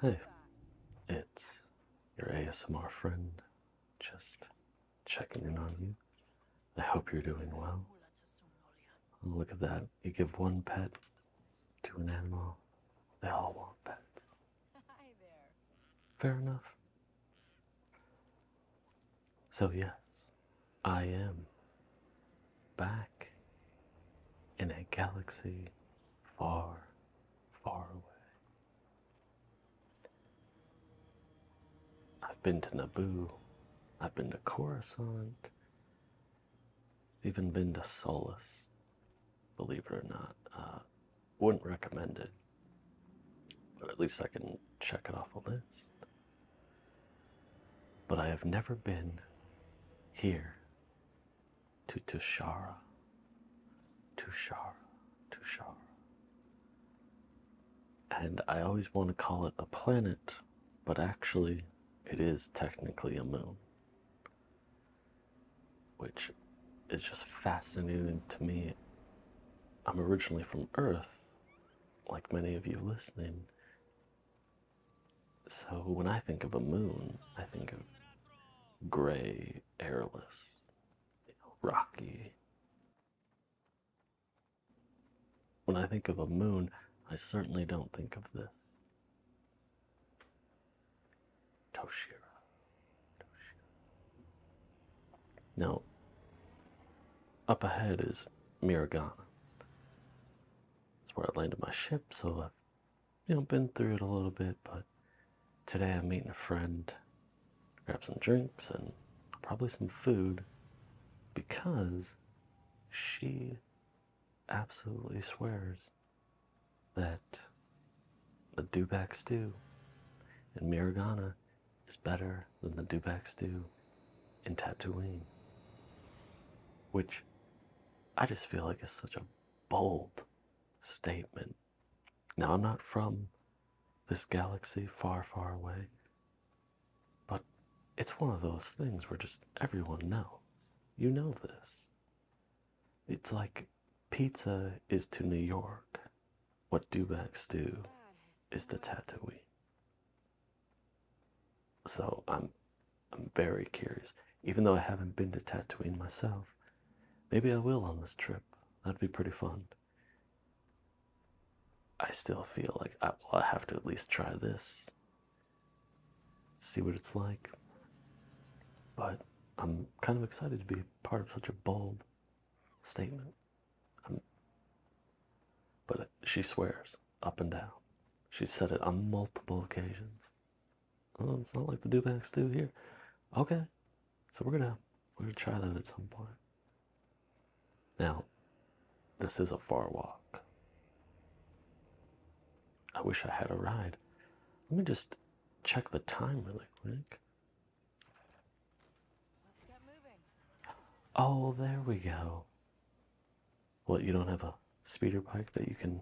Hey, it's your ASMR friend just checking in on you. I hope you're doing well. Oh, look at that. You give one pet to an animal, they all want pets. Fair enough. So, yes, I am back in a galaxy far, far away. I've been to Naboo, I've been to Coruscant, even been to Solus, believe it or not. Uh, wouldn't recommend it, but at least I can check it off a list. But I have never been here to Tushara, Tushara, Tushara. And I always want to call it a planet, but actually, it is technically a moon, which is just fascinating to me. I'm originally from Earth, like many of you listening, so when I think of a moon, I think of gray, airless, rocky. When I think of a moon, I certainly don't think of this. Toshira. Now, up ahead is Miragana. That's where I landed my ship, so I've you know been through it a little bit, but today I'm meeting a friend, grab some drinks and probably some food because she absolutely swears that the Dubak stew in Miragana is better than the Dubak stew in Tatooine. Which I just feel like is such a bold statement. Now, I'm not from this galaxy far, far away, but it's one of those things where just everyone knows. You know this. It's like pizza is to New York what Dubacks do is to Tatooine. So I'm I'm very curious. Even though I haven't been to Tatooine myself, maybe I will on this trip. That'd be pretty fun. I still feel like I well, I have to at least try this. See what it's like. But I'm kind of excited to be part of such a bold statement. but she swears up and down. She said it on multiple occasions. it's not like the Dubacks do here. Okay, so we're gonna we're gonna try that at some point. Now, this is a far walk. I wish I had a ride. Let me just check the time really quick. Oh, there we go. What, you don't have a speeder bike that you can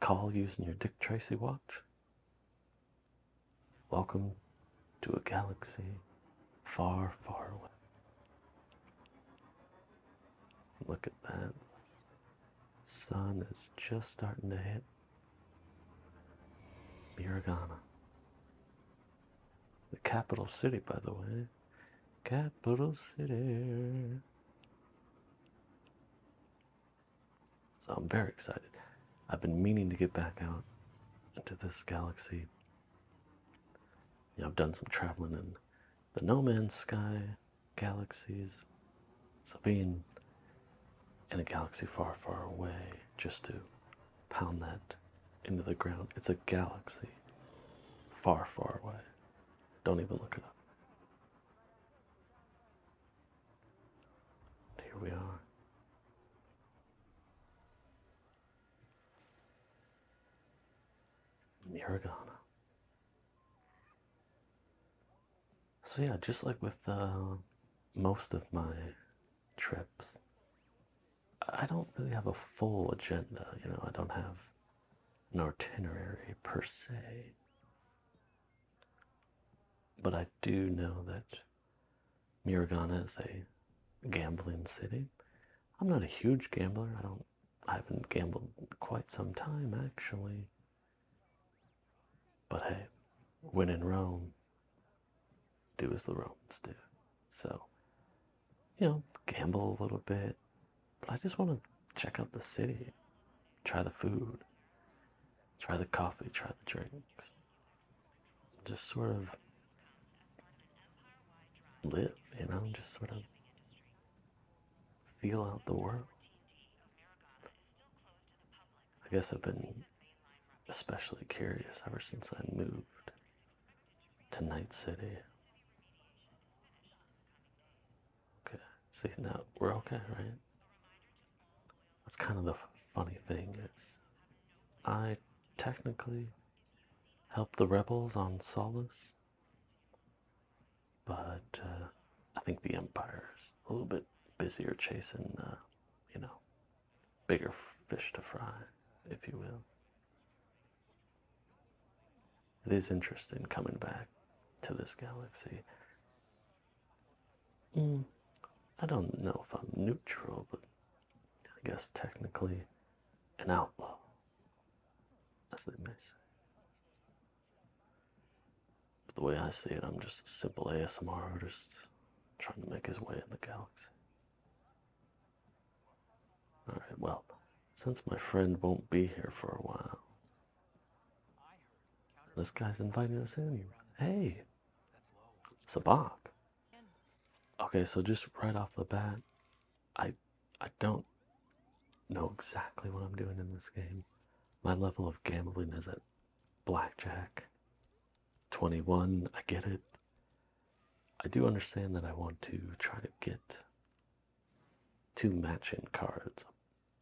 call using your Dick Tracy watch? Welcome to a galaxy far, far away. Look at that. Sun is just starting to hit Biragana. The capital city, by the way, capital city. So I'm very excited. I've been meaning to get back out into this galaxy. I've done some traveling in the No Man's Sky galaxies. So being in a galaxy far, far away just to pound that into the ground. It's a galaxy far, far away. Don't even look it up. Here we are. Miragana. So yeah, just like with uh, most of my trips, I don't really have a full agenda, you know, I don't have an itinerary per se. But I do know that Miragana is a gambling city. I'm not a huge gambler. I don't I haven't gambled quite some time actually. But hey, when in Rome, do as the Romans do. So, you know, gamble a little bit, but I just want to check out the city, try the food, try the coffee, try the drinks, just sort of live, you know, just sort of feel out the world. I guess I've been especially curious ever since I moved to Night City. Okay, see now we're okay, right? That's kind of the funny thing is, I technically helped the rebels on Solace, but uh, I think the Empire's a little bit busier chasing, uh, you know, bigger fish to fry, if you will. It is interesting coming back to this galaxy. Hmm, I don't know if I'm neutral, but I guess technically an outlaw, as they may say. But the way I see it, I'm just a simple ASMR artist trying to make his way in the galaxy. All right, well, since my friend won't be here for a while, this guy's inviting us in. Hey, Sabak. Okay, so just right off the bat, I, I don't know exactly what I'm doing in this game. My level of gambling is not blackjack, 21, I get it. I do understand that I want to try to get two matching cards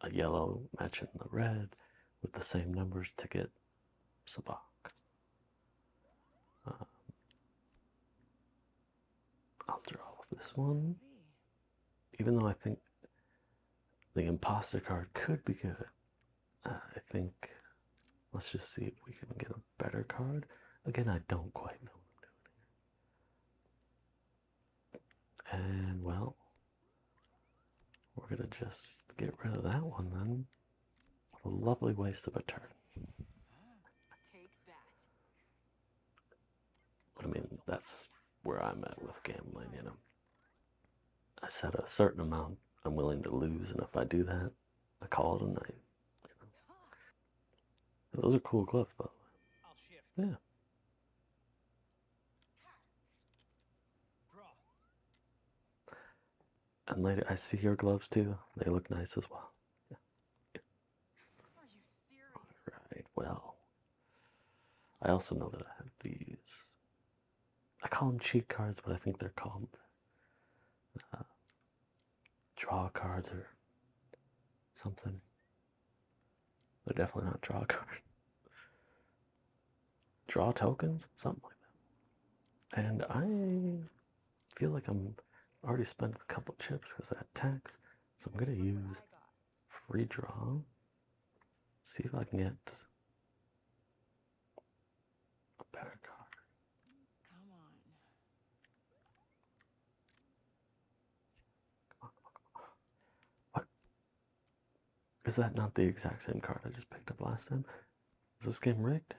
a yellow matching the red with the same numbers to get Sabak. Um, I'll draw this one. Even though I think the imposter card could be good, I think let's just see if we can get a better card. Again, I don't quite know what I'm doing And well, we're gonna just get rid of that one then. What a lovely waste of a turn. I mean, that's where I'm at with gambling, you know. I set a certain amount I'm willing to lose, and if I do that, I call it a night. Those are cool gloves, by the way. Yeah. And lady, I see your gloves too. They look nice as well. Yeah. Yeah. All right. Well, I also know that I have these. I call them cheat cards, but I think they're called uh, draw cards or something. They're definitely not draw cards. draw tokens, something like that. And I feel like I'm already spent a couple chips because I had tax, so I'm gonna use free draw. See if I can get a better cock. Come on. Come on, What? Is that not the exact same card I just picked up last time? Is this game rigged?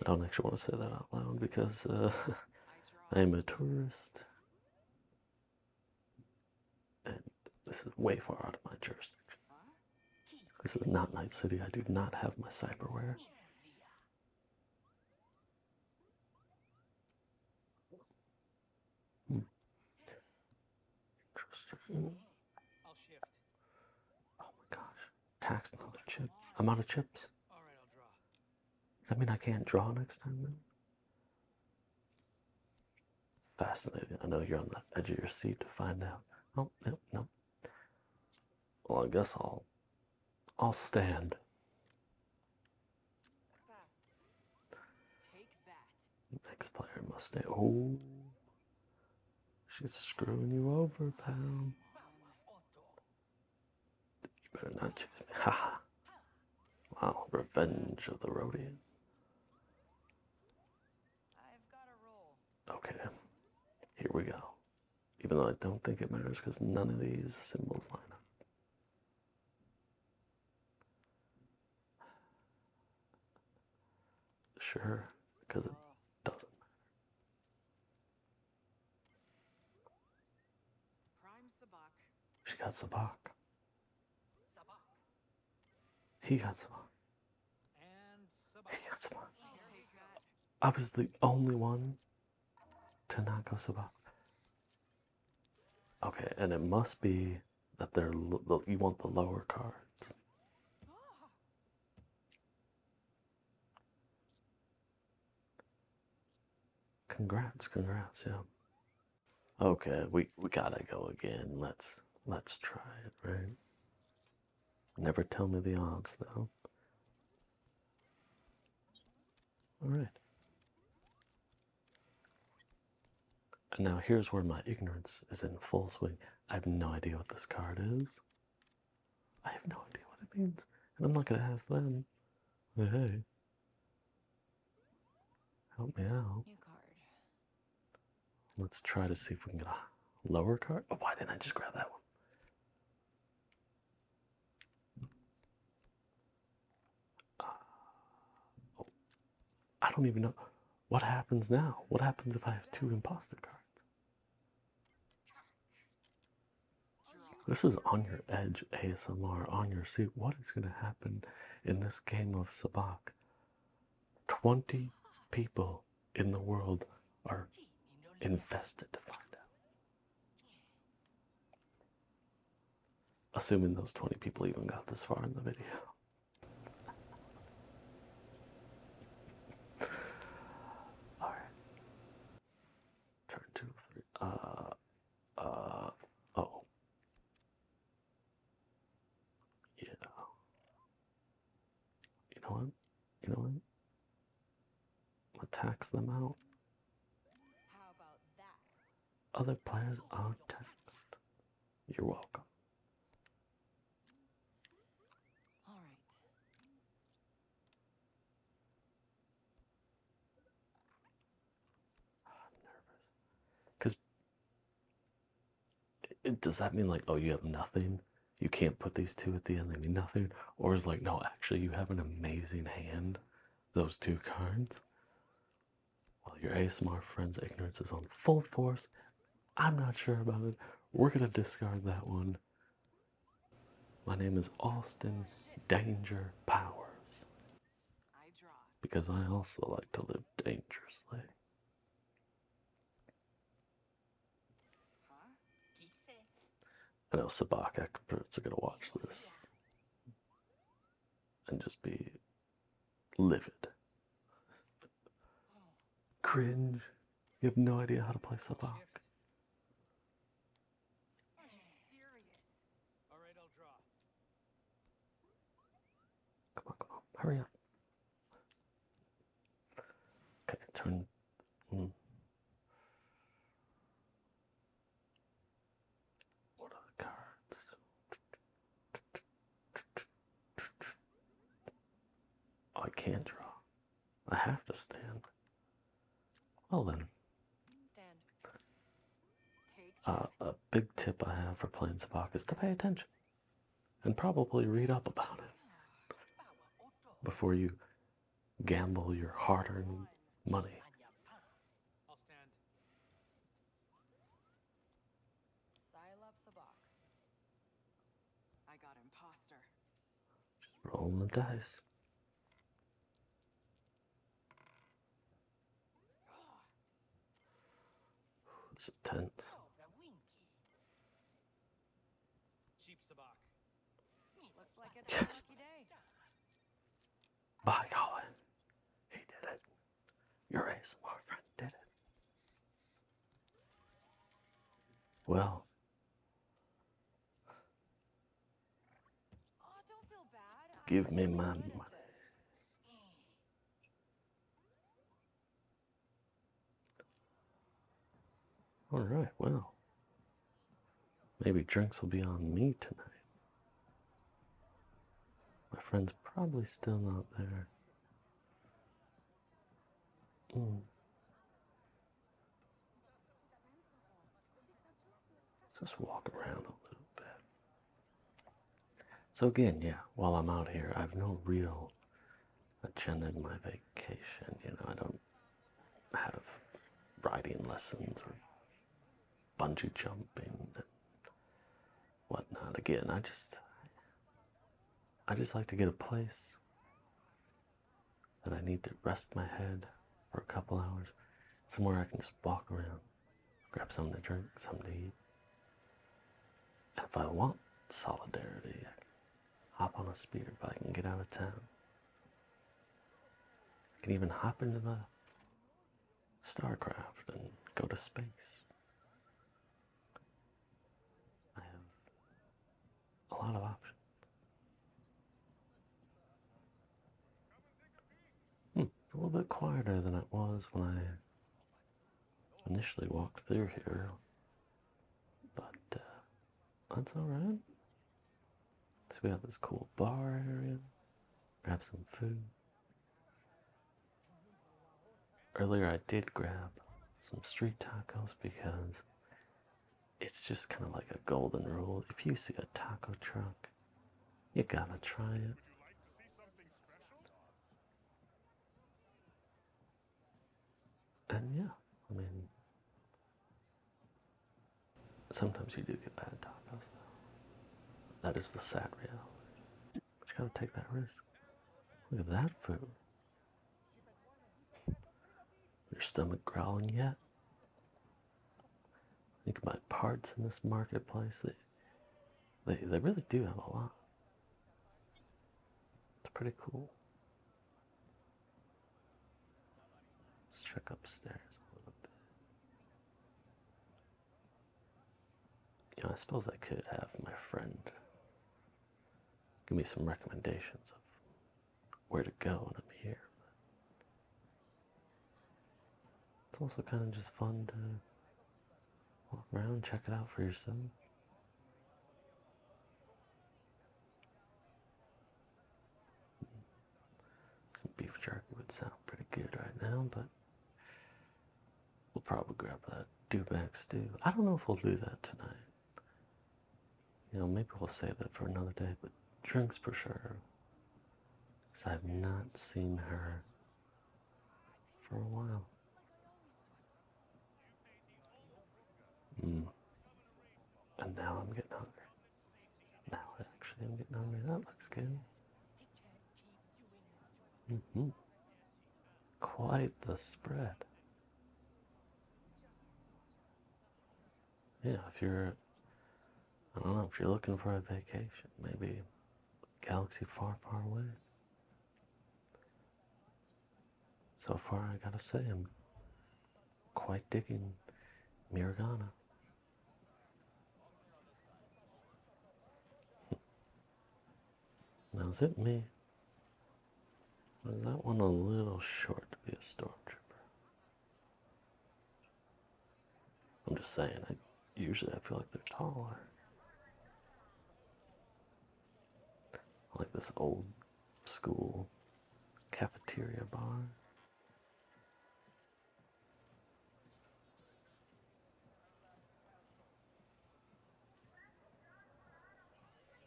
I don't actually want to say that out loud because uh, I'm a tourist. And this is way far out of my jurisdiction. This is not Night City. I do not have my cyberware. Hmm. i Oh my gosh. Tax another chip. I'm out of chips. Does that mean I can't draw next time then? Fascinating. I know you're on the edge of your seat to find out. Oh, no, no. Well, I guess I'll I'll stand. Next player must stay. Oh, she's screwing you over, pal. You better not choose me. Haha. wow, revenge of the Rodian. Okay, here we go. Even though I don't think it matters because none of these symbols line up. Sure, because it doesn't matter. She got Sabak. Sabak. He got some. I was the only one to not go Subaru. Okay, and it must be that they're you want the lower cards. Congrats, congrats, yeah. Okay, we we gotta go again. Let's let's try it, right? Never tell me the odds, though. All right. now here's where my ignorance is in full swing. I have no idea what this card is. I have no idea what it means. And I'm not going to ask them. Hey, Help me out. Let's try to see if we can get a lower card. Oh, why didn't I just grab that one? Ah, oh, I don't even know what happens now. What happens if I have two imposter cards? This is on your edge ASMR on your seat. What is going to happen in this game of Sabak? 20 people in the world are invested to find out. Assuming those 20 people even got this far in the video. All right. Turn two, three. Uh, uh, oh. You You know what? You know what? I'll tax them out. Other players are taxed. You're welcome. All nervous. Cause does that mean like oh you have nothing you can't put these two at the end they mean nothing or is like no actually you have an amazing hand those two cards well your asmr friend's ignorance is on full force i'm not sure about it we're gonna discard that one my name is austin danger powers because i also like to live dangerously I know Sabaka experts are going to watch this and just be livid. Cringe. You have no idea how to play Sabak. Come on, come on. Hurry up. Can I turn? Hmm. What are the cards? Oh, I can't draw. I have to stand. Well then. Uh, a big tip I have for playing Sabak is to pay attention and probably read up about it before you gamble your hard earned money. I got imposter. Just rolling the dice. This is tense. Like yes. By Colin. He did it. Your ASMR friend did it. Well. Oh, give me my money. All right, well, maybe drinks will be on me tonight. My friend's probably still not there. Hmm. Let's just walk around a little bit. So again, yeah, while I'm out here, I have no real agenda in my vacation. You know, I don't have riding lessons or bungee jumping and whatnot. Again, I just I just like to get a place that I need to rest my head for a couple hours, somewhere I can just walk around, grab something to drink, something to eat. If I want solidarity, I can hop on a speeder I can get out of town. I can even hop into the StarCraft and go to space. I have a lot of options. Hmm, a little bit quieter than it was when I initially walked through here, but uh, that's alright. So we have this cool bar area, grab some food. Earlier, I did grab some street tacos because it's just kind of like a golden rule. If you see a taco truck, you gotta try it. And yeah, I mean, sometimes you do get bad tacos, though. That is the sad reality. But you gotta take that risk. Look at that food. Your stomach growling yet? Think about parts in this marketplace that they they really do have a lot. It's pretty cool. Let's check upstairs a little bit. You know, I suppose I could have my friend give me some recommendations of where to go when I'm here. it's also kind of just fun to Walk around, check it out for yourself. Some beef jerky would sound pretty good right now, but we'll probably grab that dewback stew. I don't know if we'll do that tonight. You know, maybe we'll save that for another day, but drinks for sure. Because I've not seen her for a while. Mm. And now I'm getting hungry. Now actually am getting hungry. That looks good. -hmm. Quite the spread. Yeah, if you're, I don't know, if you're looking for a vacation, maybe galaxy far, far away. So far, I gotta say, I'm quite digging Miragana. now, it me? Was that one a little short to be a stormtrooper? I'm just saying, I usually I feel like they're taller. Like this old school cafeteria bar.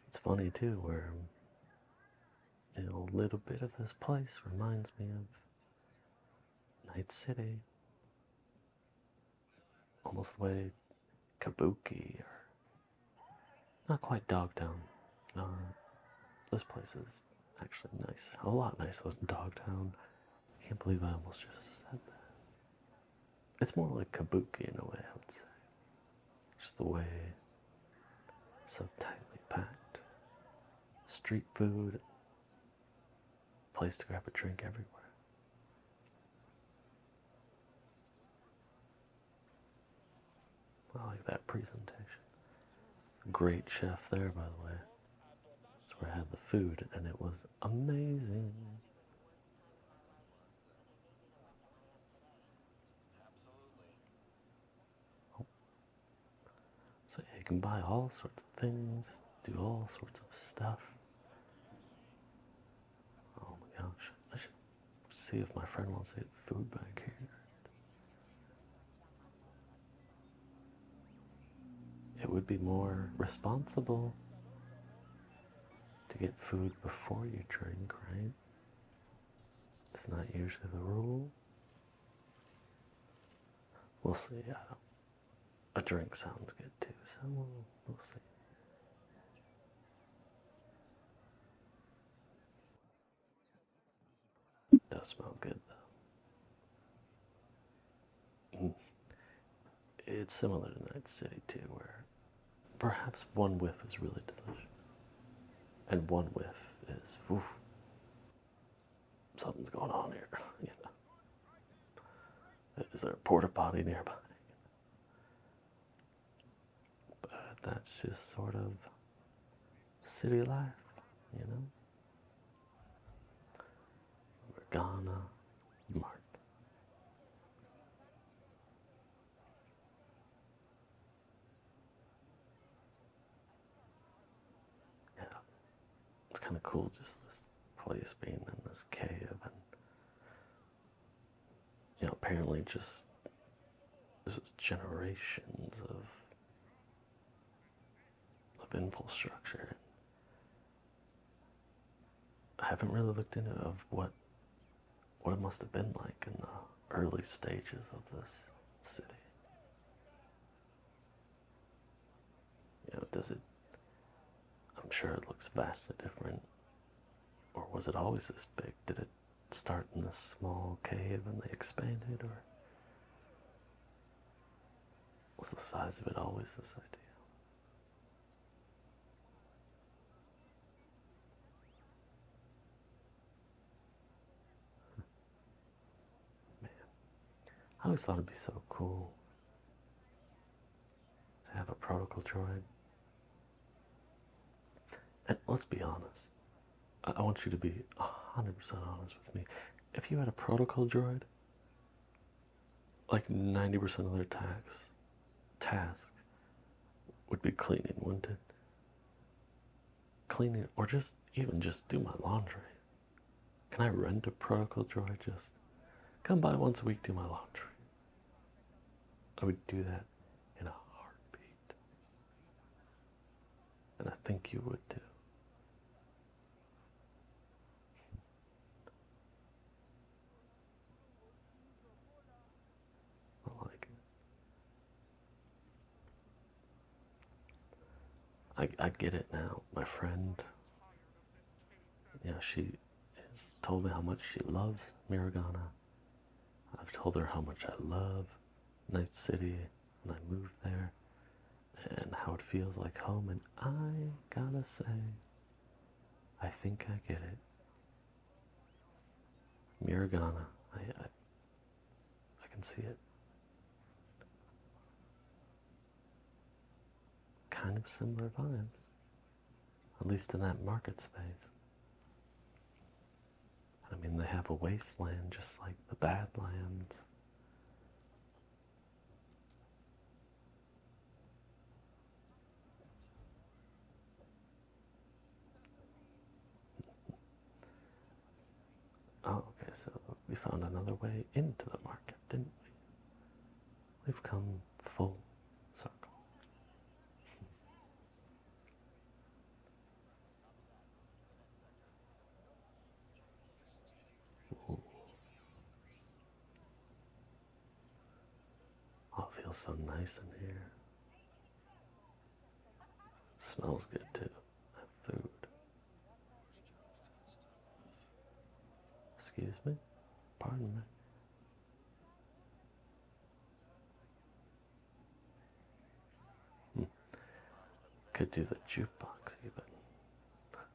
It's funny too, where a little bit of this place reminds me of Night City, almost the way Kabuki, or not quite Dogtown. Uh, this place is actually nice, a lot nicer than Dogtown. I can't believe I almost just said that. It's more like Kabuki in a way, I would say. Just the way it's so tightly packed. Street food Place to grab a drink everywhere. I like that presentation. Great chef there, by the way. That's where I had the food, and it was amazing. So you can buy all sorts of things, do all sorts of stuff. Oh my gosh, I should see if my friend wants to hit food back here. It would be more responsible to get food before you drink, right? It's not usually the rule. We'll see. I don't, a drink sounds good too, so we'll, we see. does smell good though. Mm. It's similar to Night City too, where perhaps one whiff is really delicious, and one whiff is. Oof, something's going on here. You know, is there a porta potty nearby? But that's just sort of city life, you know. We're gonna mark yeah, it's kind of cool just this place being in this cave and you apparently just this is generations of of infrastructure. I haven't really looked into of what what it must have been like in the early stages of this city. You know, does it? I'm sure it looks vastly different. Or was it always this big? Did it start in this small cave and they expanded, or was the size of it always this idea? Man, I always thought it'd be so cool to have a protocol droid. And let's be honest. I, want you to be 100% honest with me. If you had a protocol droid, like 90% of their tasks, task would be cleaning, wouldn't it? Cleaning, or just even just do my laundry? Can I rent a protocol drawer? Just come by once a week, do my laundry. I would do that in a heartbeat. And I think you would too. I like it. I, I get it now. My friend, You know she has told me how much she loves Miragana. I've told her how much I love Night City when I moved there and how it feels like home. And I gotta say, I think I get it. Miragana, I, I can see it. Kind of similar vibes, at least in that market space. I mean, they have a wasteland just like the Badlands. Oh, okay, so we found another way into the market, didn't we? We've come full circle. Oh, it feels so nice in here. Smells good too food. Excuse me? Pardon me. Hmm. Could do the jukebox even. But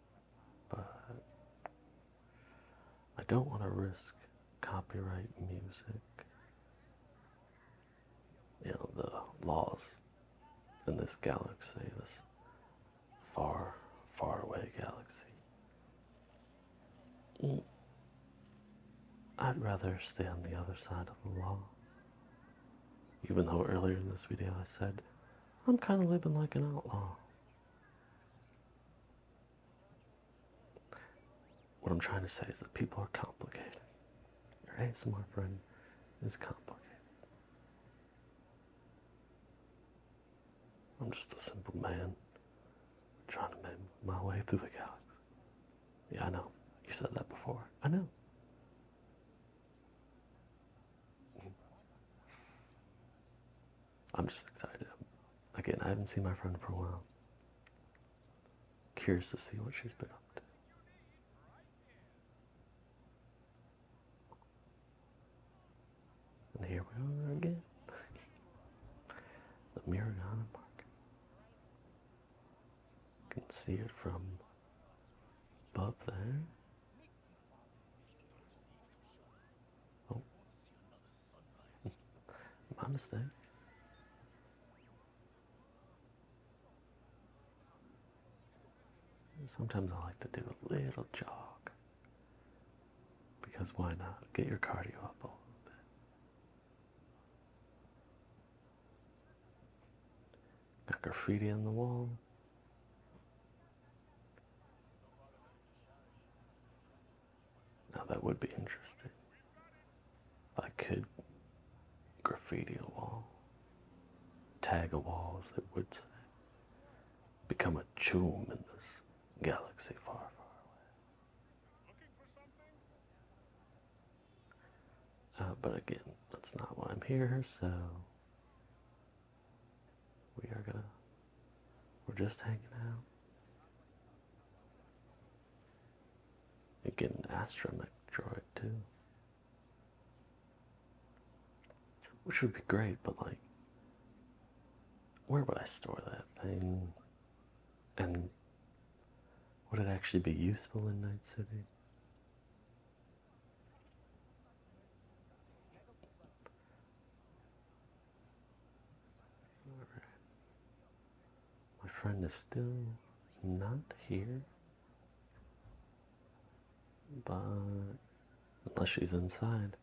I don't want to risk copyright music you know the laws in this galaxy, this far, far away galaxy. Mm. I'd rather stay on the other side of the law. Even though earlier in this video I said, I'm kind of living like an outlaw. What I'm trying to say is that people are complicated. Your ASMR friend is complicated. I'm just a simple man trying to make my way through the galaxy. Yeah, I know. You said that before. I know. I'm just excited. Again, I haven't seen my friend for a while. Curious to see what she's been up to. And here we are again. the Miragana Park. You can see it from above there. Oh. My mistake. Sometimes I like to do a little jog because why not? Get your cardio up a little bit. Got graffiti on the wall. Now that would be interesting. I could graffiti a wall, tag a wall that would become a tomb in this galaxy far, far away. Uh, but again, that's not why I'm here, so we are gonna, we're just hanging out. And get an astromech droid too. Which would be great, but like where would I store that thing? And would it actually be useful in Night City? All right. My friend is still not here. But unless she's inside.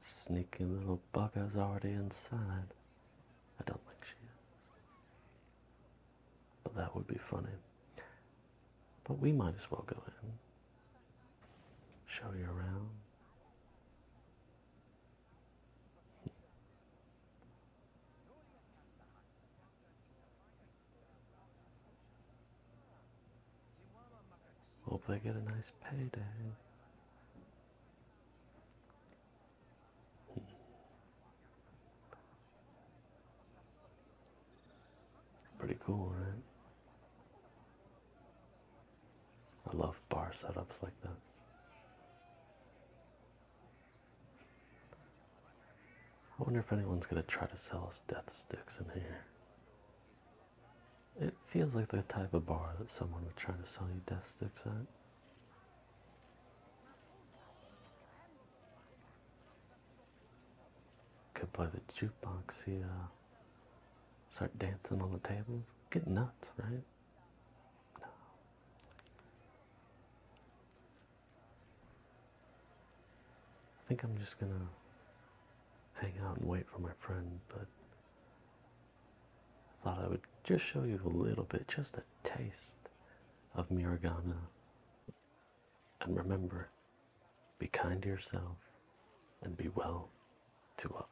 Sneaky little bugger's already inside. I don't think she is. But that would be funny. But we might as well go in. Show you around. Hope they get a nice payday. Pretty cool, right? I love bar setups like this. I wonder if anyone's gonna try to sell us death sticks in here. It feels like the type of bar that someone would try to sell you death sticks at. Could play the jukebox here. Uh, start dancing on the tables. Get nuts, right? No. I think I'm just gonna hang out and wait for my friend, but I thought I would just show you a little bit, just a taste of Miragana. And remember, be kind to yourself and be well to others.